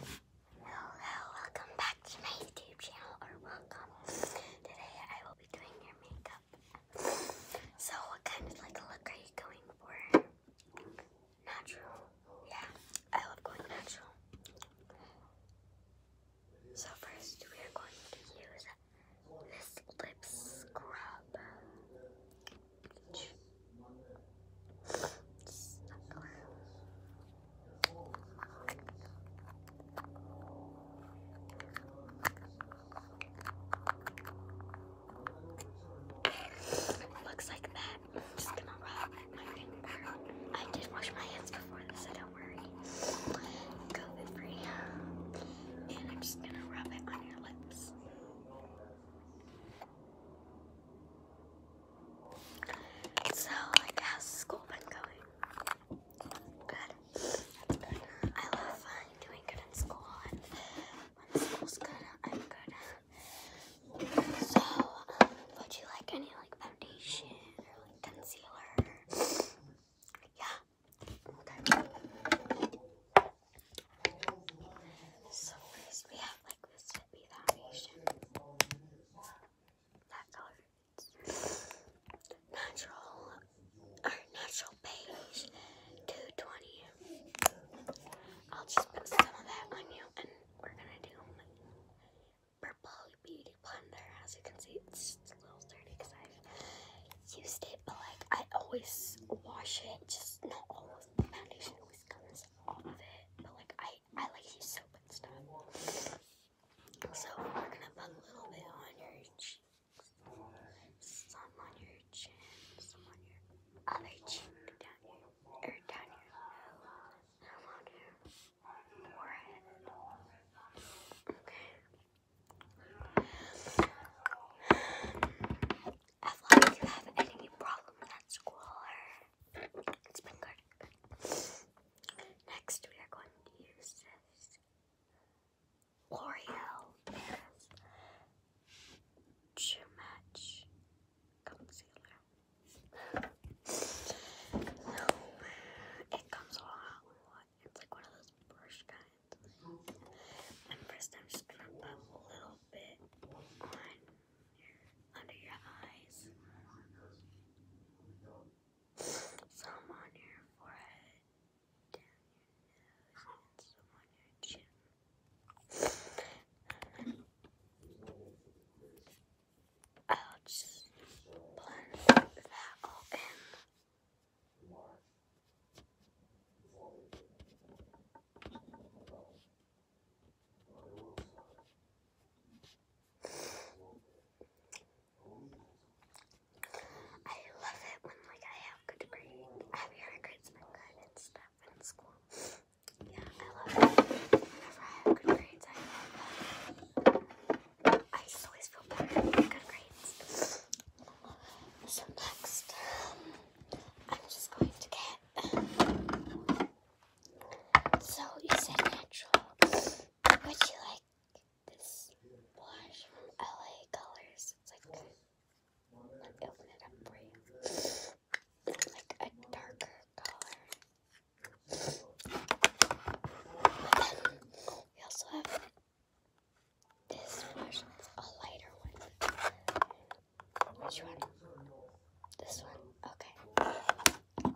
Hello, uh, welcome back to my YouTube channel, or welcome. Today I will be doing your makeup. So what kind of look are you going for? Natural. Yeah, I love going natural. So first we are going to use this lip scrub. Looks like that. I'm just gonna rub my I did wash my hands before this, so don't worry. COVID free. And I'm just gonna rub it on your lips. So, like, how's school been going? Good. That's good. I love uh, doing good in school, when school's good, I'm good. So, um, would you like any, like, foundation or, like, concealer? Yeah. Okay. So we have like this would foundation. Natural or natural beige 220. I'll just put some of that on you and we're gonna do purple beauty blender. As you can see it's a little dirty because I've used it, but like I always wash it, just not all the foundation always comes off of it. But like I I like use soap and stuff. So we're gonna put a little bit on your cheeks, some on your chin, some on your other cheek down here, or down your nose, on your forehead. Okay. As long you have any problems at school it's Next, we are going to use this L'Oreal Paris to concealer. it comes along with what? It's like one of those brush kinds. And first, I'm just gonna put a little bit under your some on your forehead, some on your chin. I'll just blend that all in. I love it when like I have good grades. I have your grades good and stuff in school. Yeah, I love it. Whenever I have good grades, I just always feel better good grades. So next, um, I'm just going to get so you said natural. Would you like this blush from LA Colors? It's like, let me open it up for you. It's like a darker color. we also have this blush, a lighter one. Which one? This one? Okay.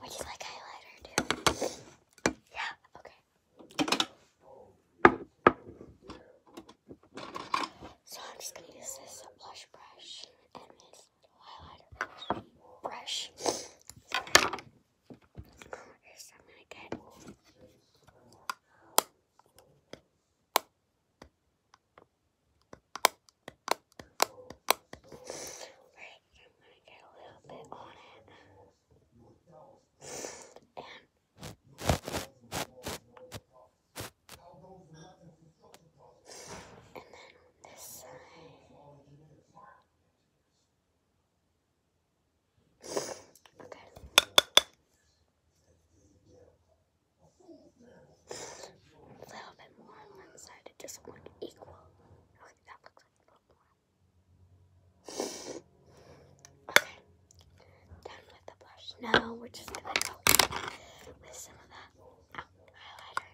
Would you like highlighter too? Yeah, okay. So I'm just gonna use this blush brush and this highlighter brush. Sorry. First I'm gonna get Right, I'm going to get a little bit on it. And, then this side. Okay a little bit more on one side. It doesn't look equal. Okay, that looks like a little more. Okay, done with the blush. Now we're just gonna go with some of that highlighter.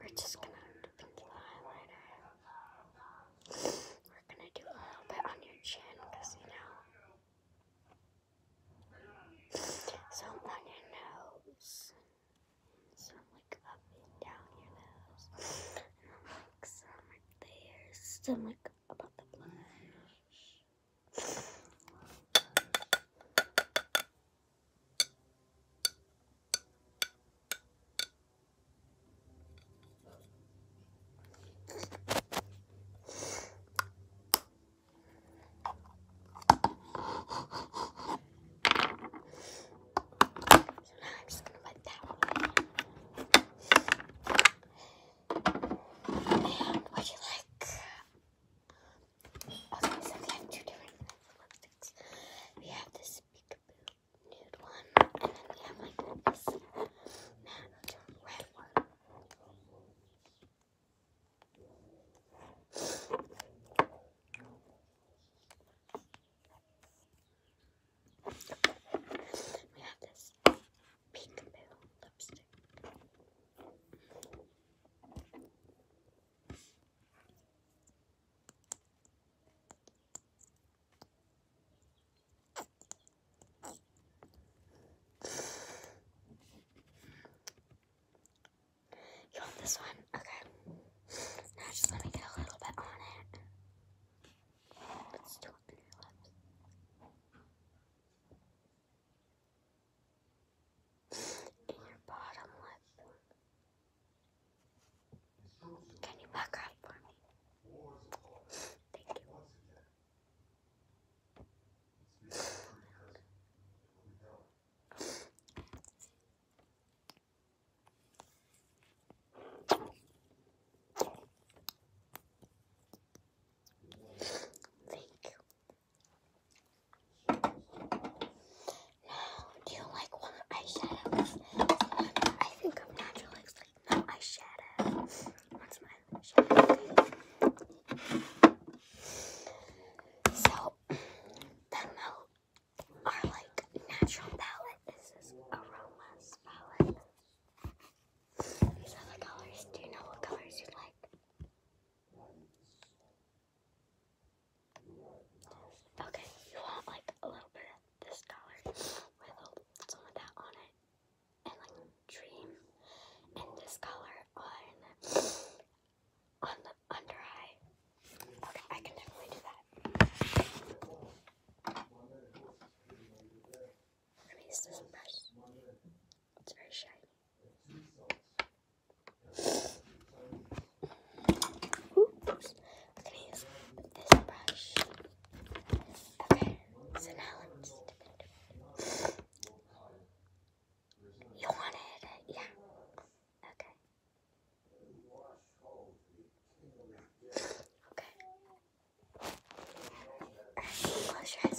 We're just gonna pink the highlighter. We're gonna do a little bit on your chin, you know. Some on your nose. Some like up and down your nose. And like some right there. Some like above the blush. So now I'm just gonna let that one. And what do you like? Also, so we have two different lipsticks. We have this peekaboo nude one, and then we have like this matte red one. We have this pink lipstick. You want this one? Okay. Now just let me get a little bit on it. Let's do it on your lips. In your bottom lip. Can you back up for me? Thank you. Thank you now, do you like one eyeshadows? I think I'm like no eyeshadow. What's my eyeshadow? So then though our like natural palette is a aromas palette. These are colors. Do you know what colors you like? Okay, you want like a little bit of this color with some of that on it, and like dream, and this color on on the under eye. Okay, I can definitely do that. Let me use brush. It's very shiny brush. Okay, so now let's dip into it. You wanted it? Yeah. Okay. Okay. close your eyes,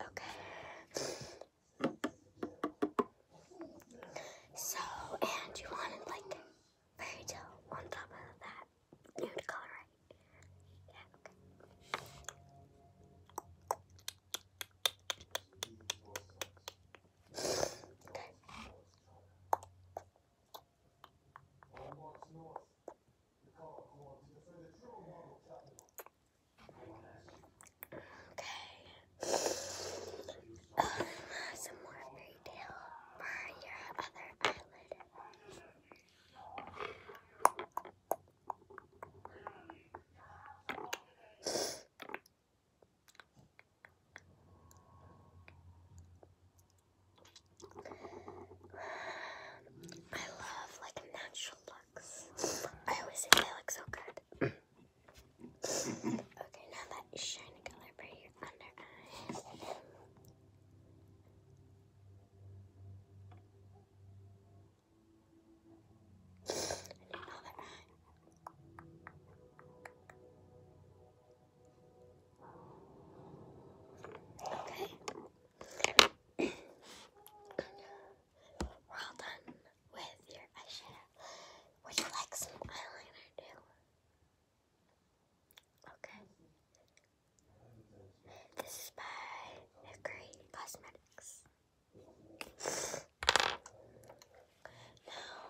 Okay. So, and you wanted like fairy tale on top of that nude color, right? Yeah, okay. Okay. Um, some more fairy tale for your other eyelid. I love like natural I always say they look so good. okay, now that shiny color for your under eye. Okay well done with your eyeshadow. Would you like some eyeliner too? Okay. This is by Hickory Cosmetics. Now,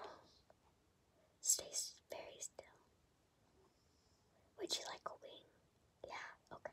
stay very still. Would you like a wing? Yeah, okay.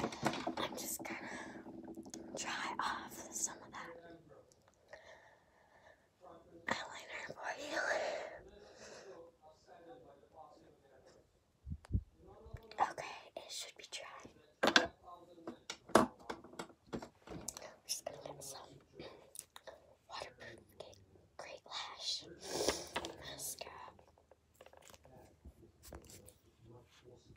I'm just gonna try off some of that eyeliner for you. Okay, it should be dry. just get some waterproof great lash mascara.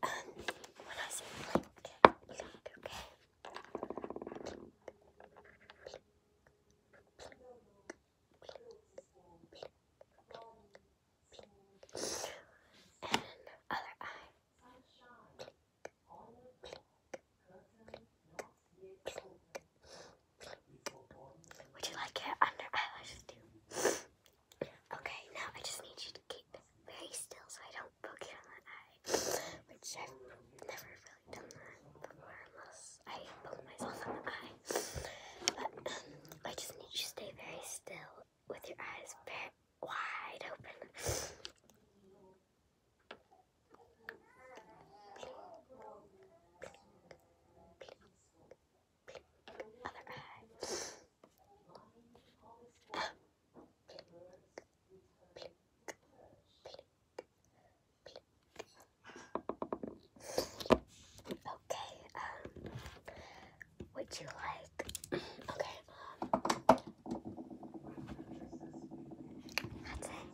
when I say blink, blink, okay? Blink, blink, blink, blink, blink, blink. And other eye. Would you like your under eyelashes too? Okay, now I just need you to keep very still so I don't poke you in the eye, which I've never really done before unless I poke myself in the eye. But um, I just need you to stay very still with your eyes very wide open. other eye. Blink, blink, Okay, um, would you like, okay, that's it.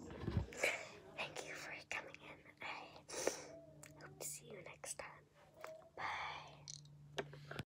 Thank you for coming in. I hope to see you next time. Bye.